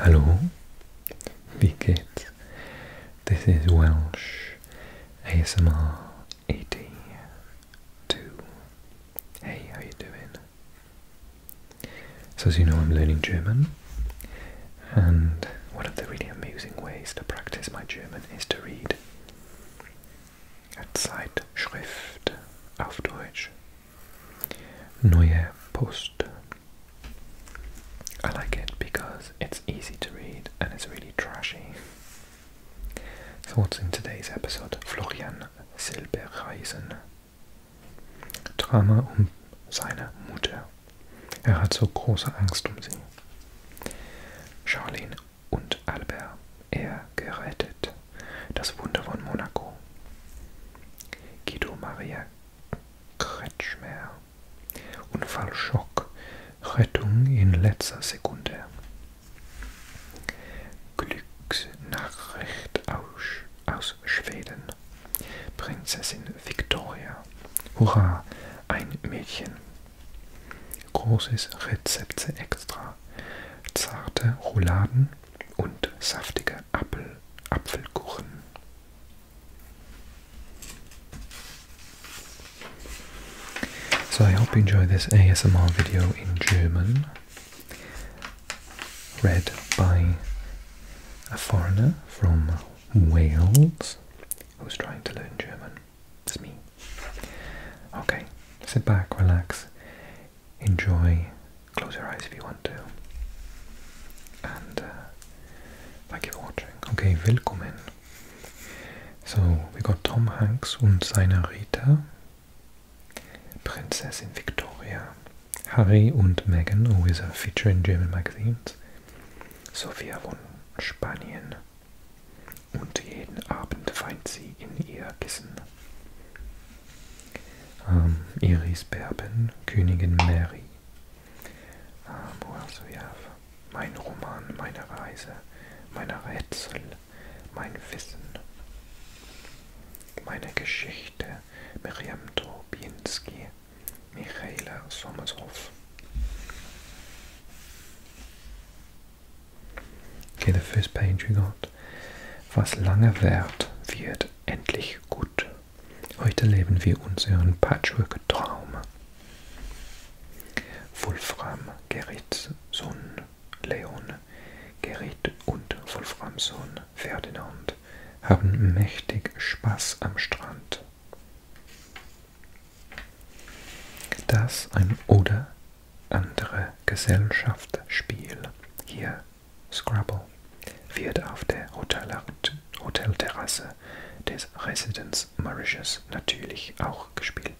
Hello, wie geht's? This is Welsh ASMR 82. Hey, how you doing? So as you know, I'm learning German, and one of the really amusing ways to practice my German is to read auf Deutsch. Neue Post. I like it because it's easy to read and it's really trashy. So, what's in today's episode? Florian Silbereisen. Drama um seine Mutter. Er hat so große Angst um sie. Charlene und Albert. Er gerettet. Das Wunder von Monaco. Guido Maria Kretschmer. Unfallschock. Rettung in letzter Sekunde. Glücksnachricht aus, aus Schweden. Prinzessin Victoria. Hurra, ein Mädchen. Großes Rezepte extra. Zarte Rouladen und saftige Apfel, Apfelkuchen. So I hope you enjoy this ASMR video in German, read by a foreigner from Wales who's trying to learn German. That's me. Okay, sit back, relax, enjoy. Close your eyes if you want to. And uh, thank you for watching. Okay, willkommen. So, we got Tom Hanks und seine Rita, Prinzessin Victoria, Harry und Meghan, always a feature in German magazines, Sophia von Spanien. Und jeden Abend weint sie in ihr Kissen. Um, ähm, Iris Berben, Königin Mary. Um, ähm, who else we have? Mein Roman, meine Reise, meine Rätsel, mein Wissen, meine Geschichte, Miriam Trobinski, Michaela Sommershoff. Okay, the first page we got. Was lange währt, wird endlich gut. Heute leben wir unseren Patchwork-Traum. Wolfram Gerrits Sohn Leon, Gerrit und Wolframs Sohn Ferdinand haben mächtig Spaß am Strand. Das ein oder andere Gesellschaftsspiel. Hier Scrabble wird auf der Hotelterrasse des Residence Mauritius natürlich auch gespielt.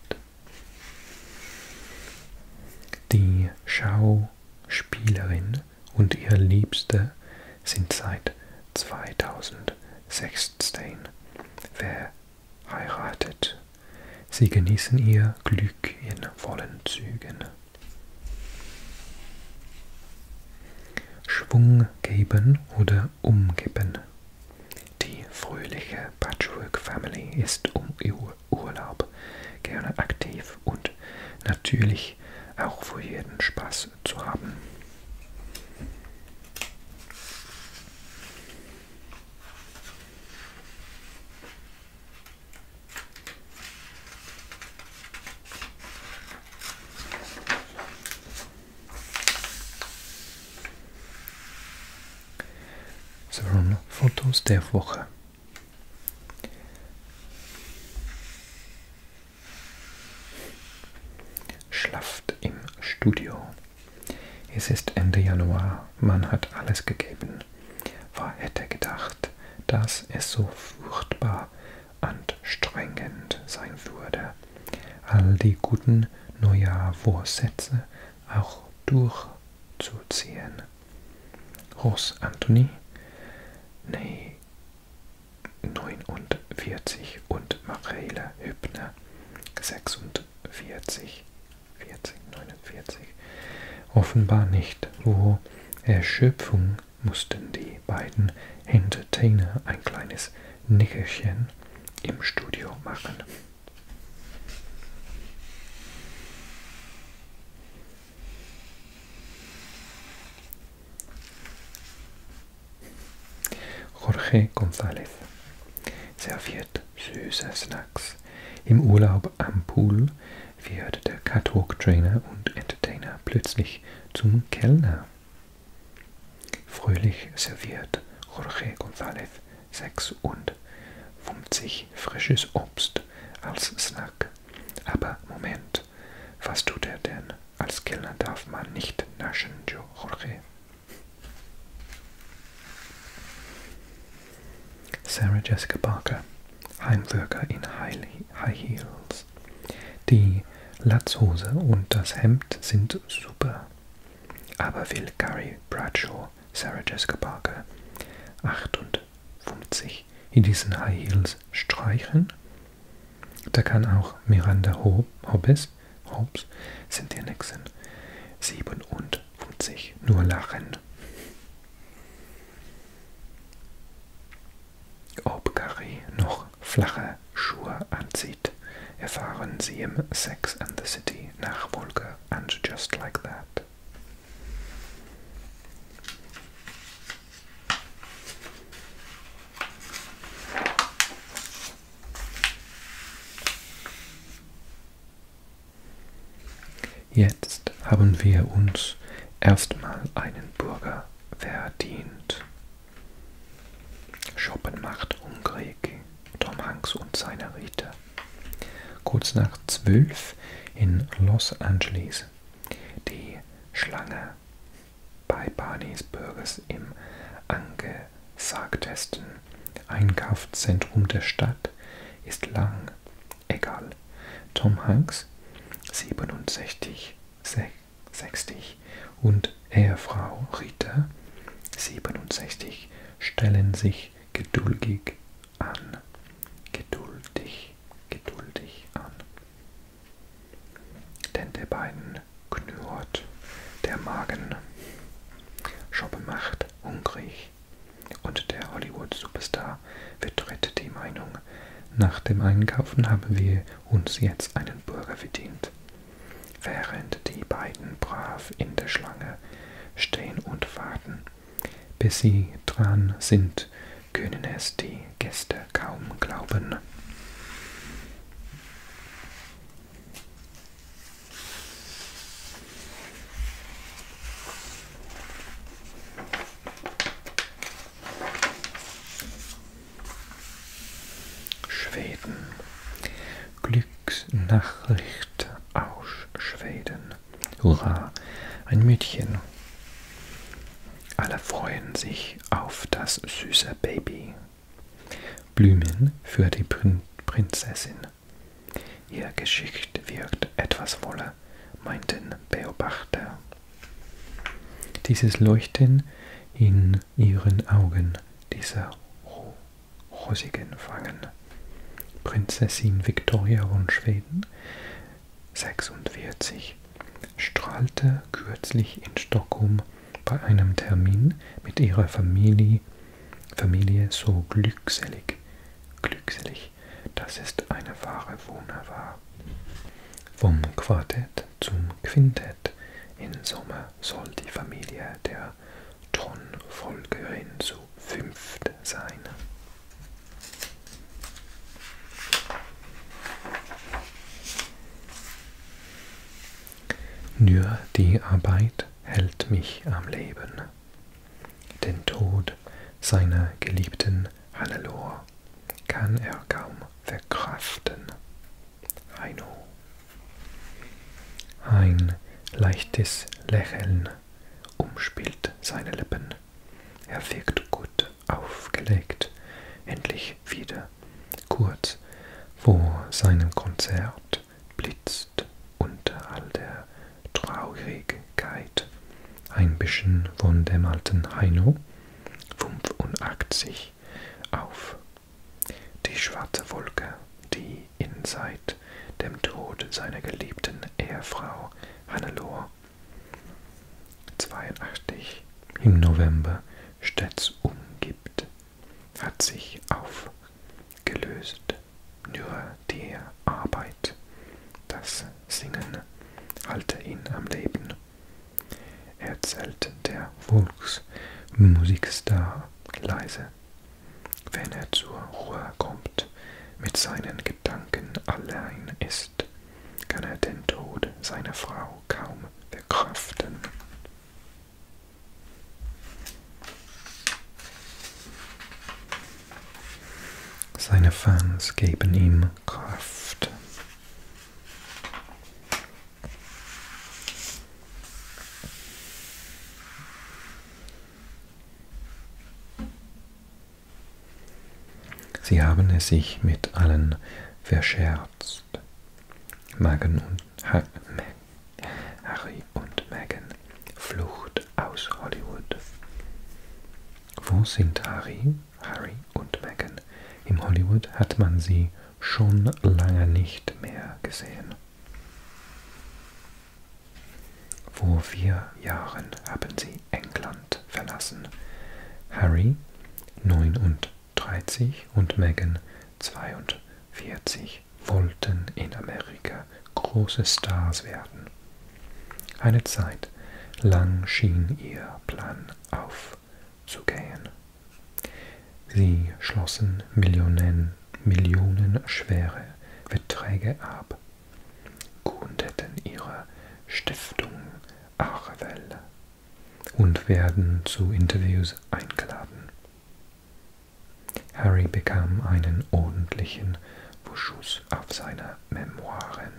Die Schauspielerin und ihr Liebster sind seit 2016 verheiratet. Sie genießen ihr Glück in vollen Zügen. Schwung geben oder umgeben. Die fröhliche Patchwork Family ist um Ur Urlaub gerne aktiv und natürlich auch für jeden Spaß zu haben. So, Fotos der Woche. Schlaft im Studio. Es ist Ende Januar, man hat alles gegeben. Wer hätte gedacht, dass es so furchtbar anstrengend sein würde, all die guten Neujahrvorsätze auch durchzuziehen. Ross Anthony, nee, 49 und Mareile Hübner, 46, 40, 49, offenbar nicht, wo Erschöpfung mussten die beiden Entertainer ein kleines Nickerchen im Studio machen. Jorge González serviert süße Snacks. Im Urlaub am Pool wie hörte der Catwalk-Trainer und Entertainer plötzlich zum Kellner? Fröhlich serviert Jorge González 56 frisches Obst als Snack. Aber Moment, was tut er denn? Als Kellner darf man nicht naschen, Jorge. Sarah Jessica Parker, Heimwirker in High Heels aus. Die Latzhose und das Hemd sind super. Aber will Gary Bradshaw, Sarah Jessica Parker, 58, in diesen High Heels streichen? Da kann auch Miranda Hobbes, Hobbes, Cynthia Nixon, 57, nur lachen. Ob Gary noch flache Schuhe anzieht, erfahren Sie im Sex and the City Nachfolge and Just Like That. Jetzt haben wir uns erstmal einen Burger mehr verdient. Shoppen macht hungrig, Tom Hanks und seine Rita. Kurz nach zwölf in Los Angeles. Die Schlange bei Barneys Burgers im angesagtesten Einkaufszentrum der Stadt ist lang. Egal. Tom Hanks, 67, 60 und Ehefrau Rita 67 stellen sich geduldig an. Geduldig, geduldig an. Denn der beiden knurrt der Magen. Shoppe macht hungrig. Und der Hollywood-Superstar vertritt die Meinung, nach dem Einkaufen haben wir uns jetzt einen Burger bedient, während die beiden brav in der Schlange stehen und warten. Bis sie dran sind, können es die Gäste kaum glauben. Schweden. Glücksnachricht aus Schweden. Hurra, ein Mädchen. Alle freuen sich auf das süße Baby. Blumen für die Prin Prinzessin. Ihr Geschicht wirkt etwas voller, meinten Beobachter. Dieses Leuchten in ihren Augen, dieser rosigen Wangen. Prinzessin Victoria von Schweden, 46, strahlte kürzlich in Stockholm bei einem Termin mit ihrer Familie, Familie so glückselig, glückselig, dass es eine wahre Wunde war. Vom Quartett zum Quintett im Sommer soll die Familie der Thronfolgerin zu fünft sein. Nur die Arbeit hält mich am Leben. Den Tod seiner Geliebten Hannelore kann er kaum verkraften. Heino. Ein leichtes Lächeln umspielt seine Lippen. Er wirkt gut aufgelegt, endlich wieder. Kurz vor seinem Konzert blitzt unter all der Traurigkeit ein bisschen von dem alten Heino 85 auf. Die schwarze Wolke, die ihn seit dem Tod seiner geliebten Ehefrau Hannelore 82 im November stets umgibt, hat sich aufgelöst. Nur die Arbeit, das Singen halte ihn am Leben erzählt der Volksmusikstar leise, wenn er zur Ruhe kommt, mit seinen Gedanken allein ist, kann er den Tod seiner Frau kaum verkraften. Seine Fans geben ihm Kraft. Sie haben es sich mit allen verscherzt. Magen und ha Harry und Meghan. Flucht aus Hollywood. Wo sind Harry Harry und Meghan. Im Hollywood hat man sie schon lange nicht mehr gesehen. Vor vier Jahren haben sie England verlassen. Harry 39 und Meghan 42 wollten in Amerika große Stars werden. Eine Zeit lang schien ihr Plan auf aufzugehen. Sie schlossen Millionen, millionenschwere Verträge ab, gründeten ihre Stiftung Arvel und werden zu Interviews eingeladen. Harry bekam einen ordentlichen Beschuss auf seine Memoiren.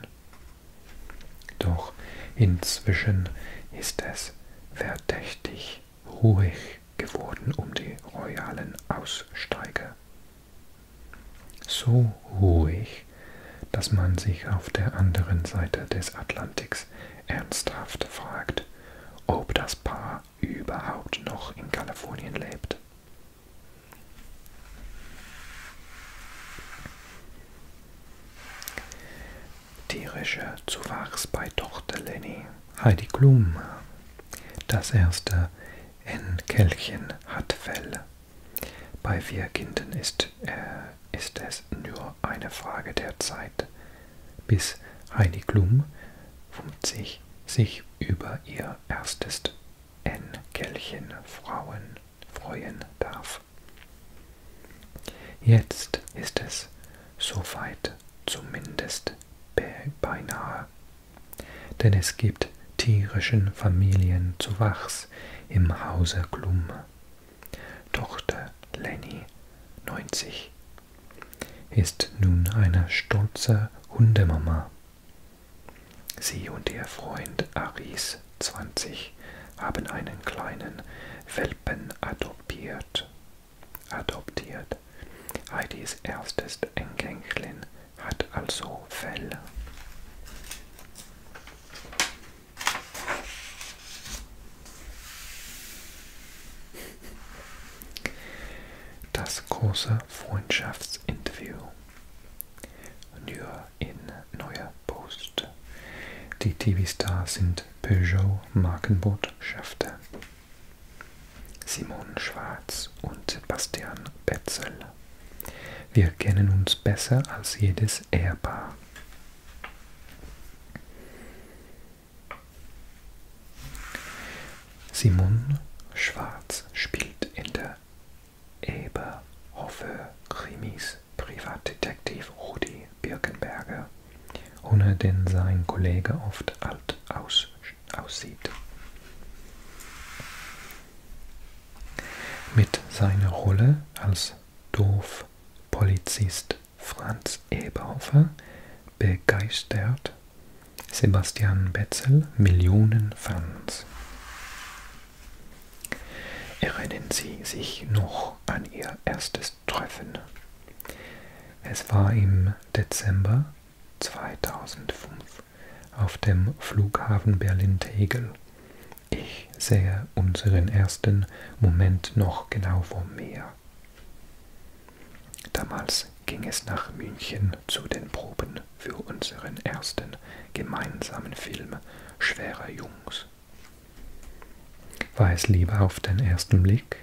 Doch inzwischen ist es verdächtig ruhig geworden um die royalen Aussteiger. So ruhig, dass man sich auf der anderen Seite des Atlantiks ernsthaft fragt, ob das Paar überhaupt noch in Kalifornien lebt. Tierische Zuwachs bei Tochter Lenny, Heidi Klum. Das erste Enkelchen hat Fell. Bei vier Kindern ist, äh, ist es nur eine Frage der Zeit, bis Heidi Klum sich, sich über ihr erstes Enkelchen Frauen freuen darf. Jetzt ist es soweit zumindest be beinahe, denn es gibt tierischen Familienzuwachs im Hause Klum. Tochter Lenny, 90, ist nun eine stolze Hundemama. Sie und ihr Freund Aris bis 20 haben einen kleinen Welpen adoptiert. adoptiert. Heidis erstes Enkelkind hat also Fell. Das große Freundschaftsinterview. Nur in neuer Post gelöst. Die TV-Stars sind Peugeot-Markenbotschafter. Simon Schwarz und Sebastian Betzel. Wir kennen uns besser als jedes Ehepaar. Simon Schwarz spielt in der Eberhofer Krimis Privatdetektiv Rudi Birkenberger, ohne den sein Kollege oft alt aus, aussieht. Mit seiner Rolle als Dorfpolizist Franz Eberhofer begeistert Sebastian Betzel Millionen Fans. Erinnern Sie sich noch an Ihr erstes treffen. Es war im Dezember 2005 auf dem Flughafen Berlin-Tegel. Ich sehe unseren ersten Moment noch genau vor mir. Damals ging es nach München zu den Proben für unseren ersten gemeinsamen Film Schwere Jungs. Weiß lieber auf den ersten Blick.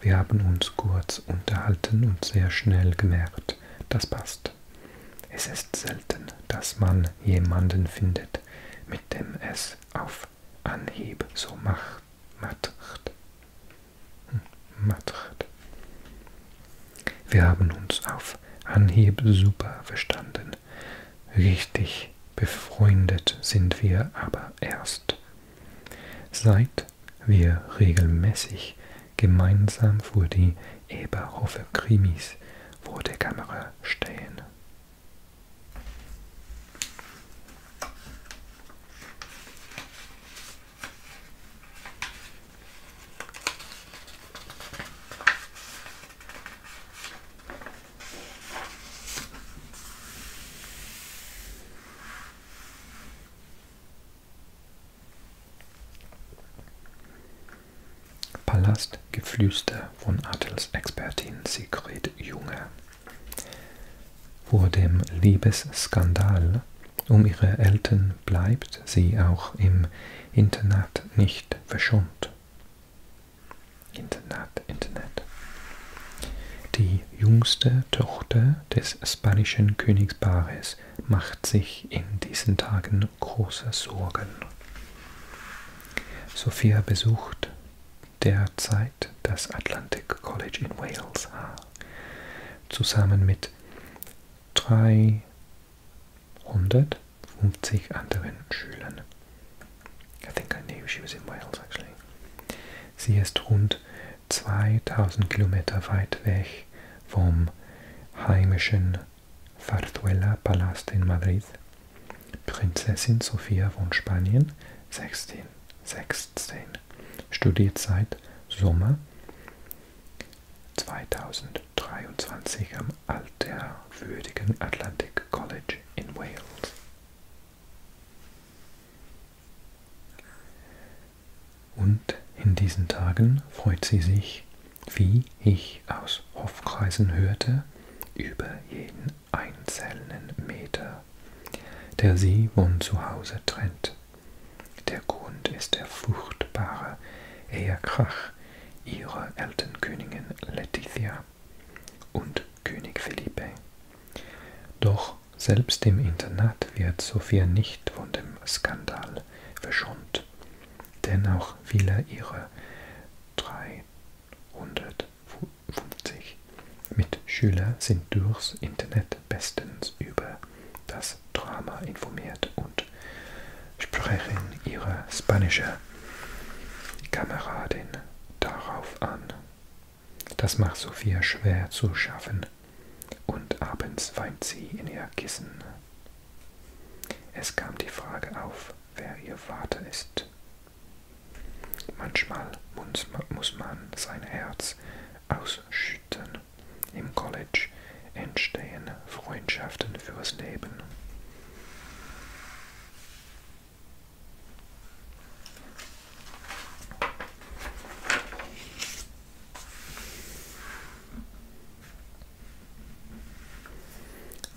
Wir haben uns kurz unterhalten und sehr schnell gemerkt, das passt. Es ist selten, dass man jemanden findet, mit dem es auf Anhieb so macht. macht. macht. Wir haben uns auf Anhieb super verstanden. Richtig befreundet sind wir aber erst, seit wir regelmäßig gemeinsam vor die Eberhofer Krimis vor der Kamera stehen. Palast Geflüster von Adelsexpertin Sigrid Junge. Vor dem Liebesskandal um ihre Eltern bleibt sie auch im Internat nicht verschont. Internet, Internet. Die jüngste Tochter des spanischen Königspaares macht sich in diesen Tagen große Sorgen. Sophia besucht derzeit das Atlantic College in Wales zusammen mit 350 anderen Schülern. I think I knew she was in Wales actually. Sie ist rund 2000 Kilometer weit weg vom heimischen Zarzuela Palast in Madrid. Prinzessin Sofia von Spanien, 16, 16, studiert seit Sommer 2023 am alterwürdigen Atlantic College in Wales. Und in diesen Tagen freut sie sich, wie ich aus Hofkreisen hörte, über jeden einzelnen Meter, der sie von zu Hause trennt. Der Grund ist der furchtbare Ehekrach ihrer Elternkönigin Letizia und König Felipe. Doch selbst im Internat wird Sophia nicht von dem Skandal verschont, denn auch viele ihrer 350 Mitschüler sind durchs Internet bestens über das Drama informiert und sprechen ihre spanische Kameradin darauf an. Das macht Sophia schwer zu schaffen und abends weint sie in ihr Kissen. Es kam die Frage auf, wer ihr Vater ist. Manchmal muss man sein Herz ausschütten. Im College entstehen Freundschaften fürs Leben.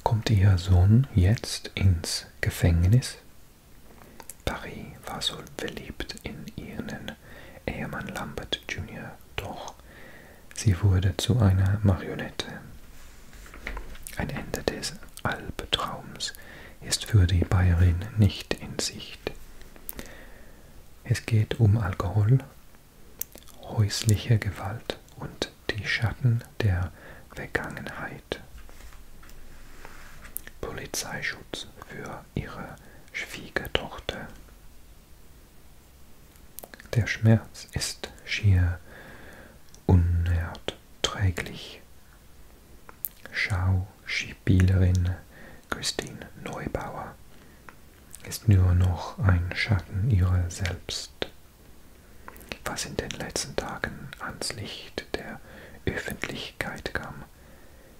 Kommt Ihr Sohn jetzt ins Gefängnis? Paris war so verliebt in ihren Ehemann Lambert Jr., doch sie wurde zu einer Marionette. Ein Ende des Albtraums ist für die Bayerin nicht in Sicht. Es geht um Alkohol, häusliche Gewalt und die Schatten der Vergangenheit. Polizeischutz für ihre Schwiegertochter. Der Schmerz ist schier unerträglich Schauspielerin Christine Neubauer ist nur noch ein Schatten ihrer selbst, was in den letzten Tagen ans Licht der Öffentlichkeit kam,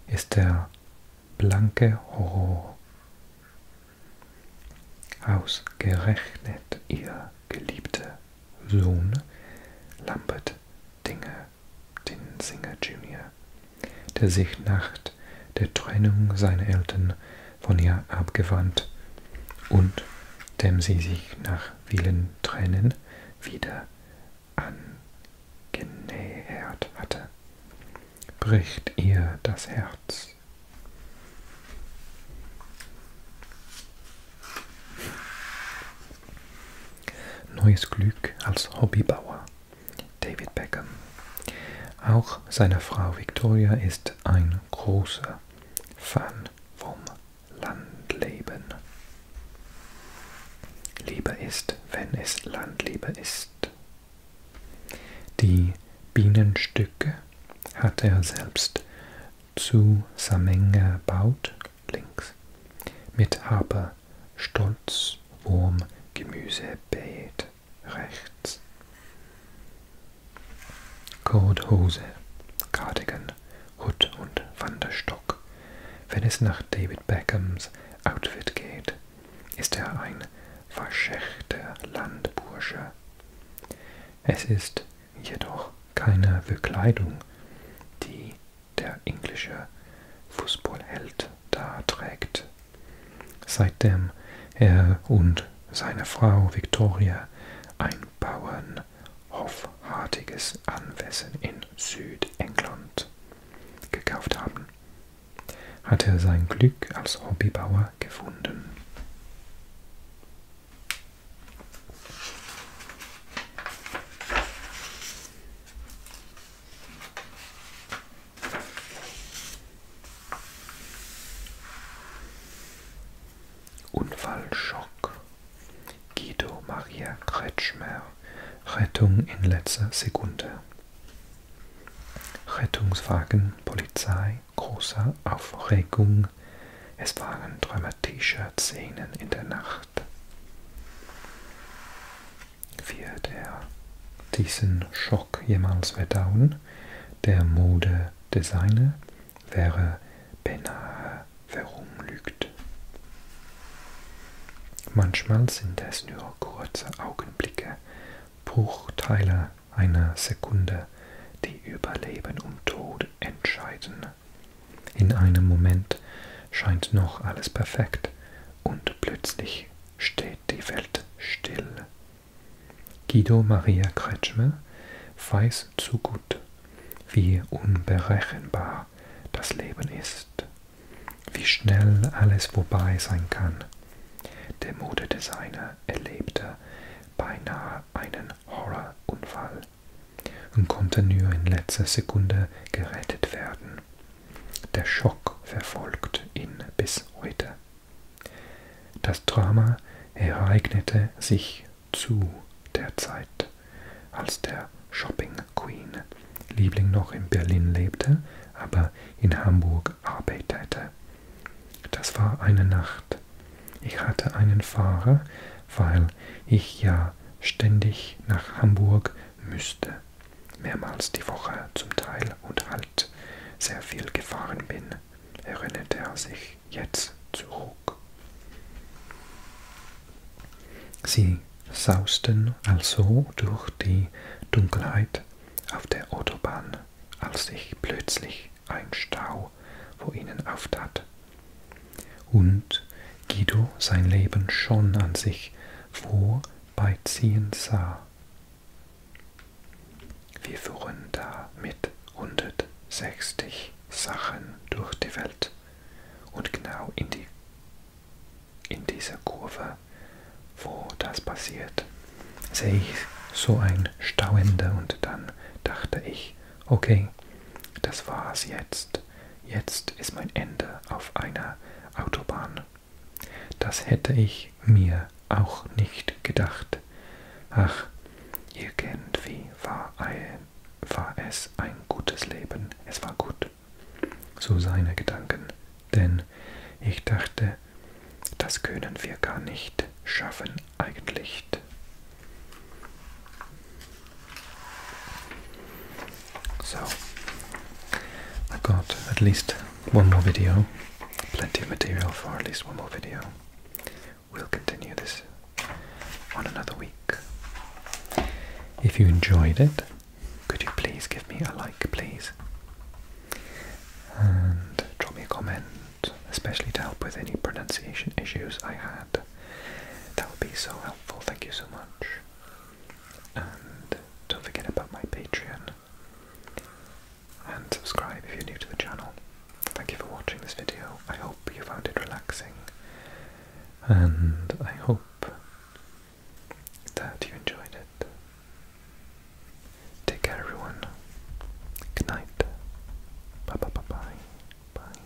ist der blanke Horror. Ausgerechnet ihr geliebter Sohn Lambert Dinger, den Singer Junior, der sich nach der Trennung seiner Eltern von ihr abgewandt und dem sie sich nach vielen Tränen wieder angenähert hatte, bricht ihr das Herz. Neues Glück als Hobbybauer. David Beckham. Auch seine Frau Victoria ist ein großer Fan vom Landleben. Liebe ist, wenn es Landliebe ist. Die Bienenstücke hat er selbst zusammengebaut links mit Haber, Stolz, Wurm, Gemüsebeet rechts. Codehose, Cardigan, Hut und Wanderstock. Wenn es nach David Beckhams Outfit geht, ist er ein verschechter Landbursche. Es ist jedoch keine Verkleidung, die der englische Fußballheld da trägt. Seitdem er und seine Frau Victoria ein bauernhofhartiges Anwesen in Südengland gekauft haben, hat er sein Glück als Hobbybauer gefunden. Unfallschock. Guido Maria Kretschmer. Rettung in letzter Sekunde. Rettungswagen, Polizei, großer Aufregung. Es waren dramatische Szenen in der Nacht. Nacht wird er diesen Schock jemals verdauen. Der Modedesigner wäre beinahe verunglückt. Manchmal sind es nur kurze Augenblicke, Bruchteile einer Sekunde, die über Leben und Tod entscheiden. In einem Moment scheint noch alles perfekt und plötzlich steht die Welt still. Guido Maria Kretschmer weiß zu gut, wie unberechenbar das Leben ist, wie schnell alles vorbei sein kann. Der Modedesigner erlebte beinahe einen Horrorunfall und konnte nur in letzter Sekunde gerettet werden. Der Schock verfolgt ihn bis heute. Das Drama ereignete sich zu der Zeit, als der Shopping Queen Liebling noch in Berlin lebte, aber in Hamburg arbeitete. Das war eine Nacht. Ich hatte einen Fahrer, weil ich ja Jahr ständig nach Hamburg müsste, mehrmals die Woche zum Teil und halt sehr viel gefahren bin, erinnerte er sich jetzt zurück. Sie sausten also durch die Dunkelheit auf der Autobahn, als sich plötzlich ein Stau vor ihnen auftat und Guido sein Leben schon an sich vorbeiziehen sah. Wir fuhren da mit 160 Sachen durch die Welt und genau in, die, in dieser Kurve, wo das passiert, sehe ich so ein Stauende und dann dachte ich, okay, das war's jetzt. Jetzt ist mein Ende auf einer Autobahn. Das hätte ich mir auch nicht gedacht. Ach, irgendwie war, ein, war es ein gutes Leben. Es war gut. So seine Gedanken. Denn ich dachte, das können wir gar nicht schaffen eigentlich. So, I've got at least one more video, plenty of material for at least one more video. We'll continue this on another week. If you enjoyed it, could you please give me a like, please? And drop me a comment, especially to help with any pronunciation issues I had. That would be so helpful, thank you so much and don't forget about my Patreon. And subscribe if you're new to the channel. Thank you for watching this video. I hope you found it relaxing, and I hope that you enjoyed it. Take care, everyone. Good night. Bye bye bye bye. Bye.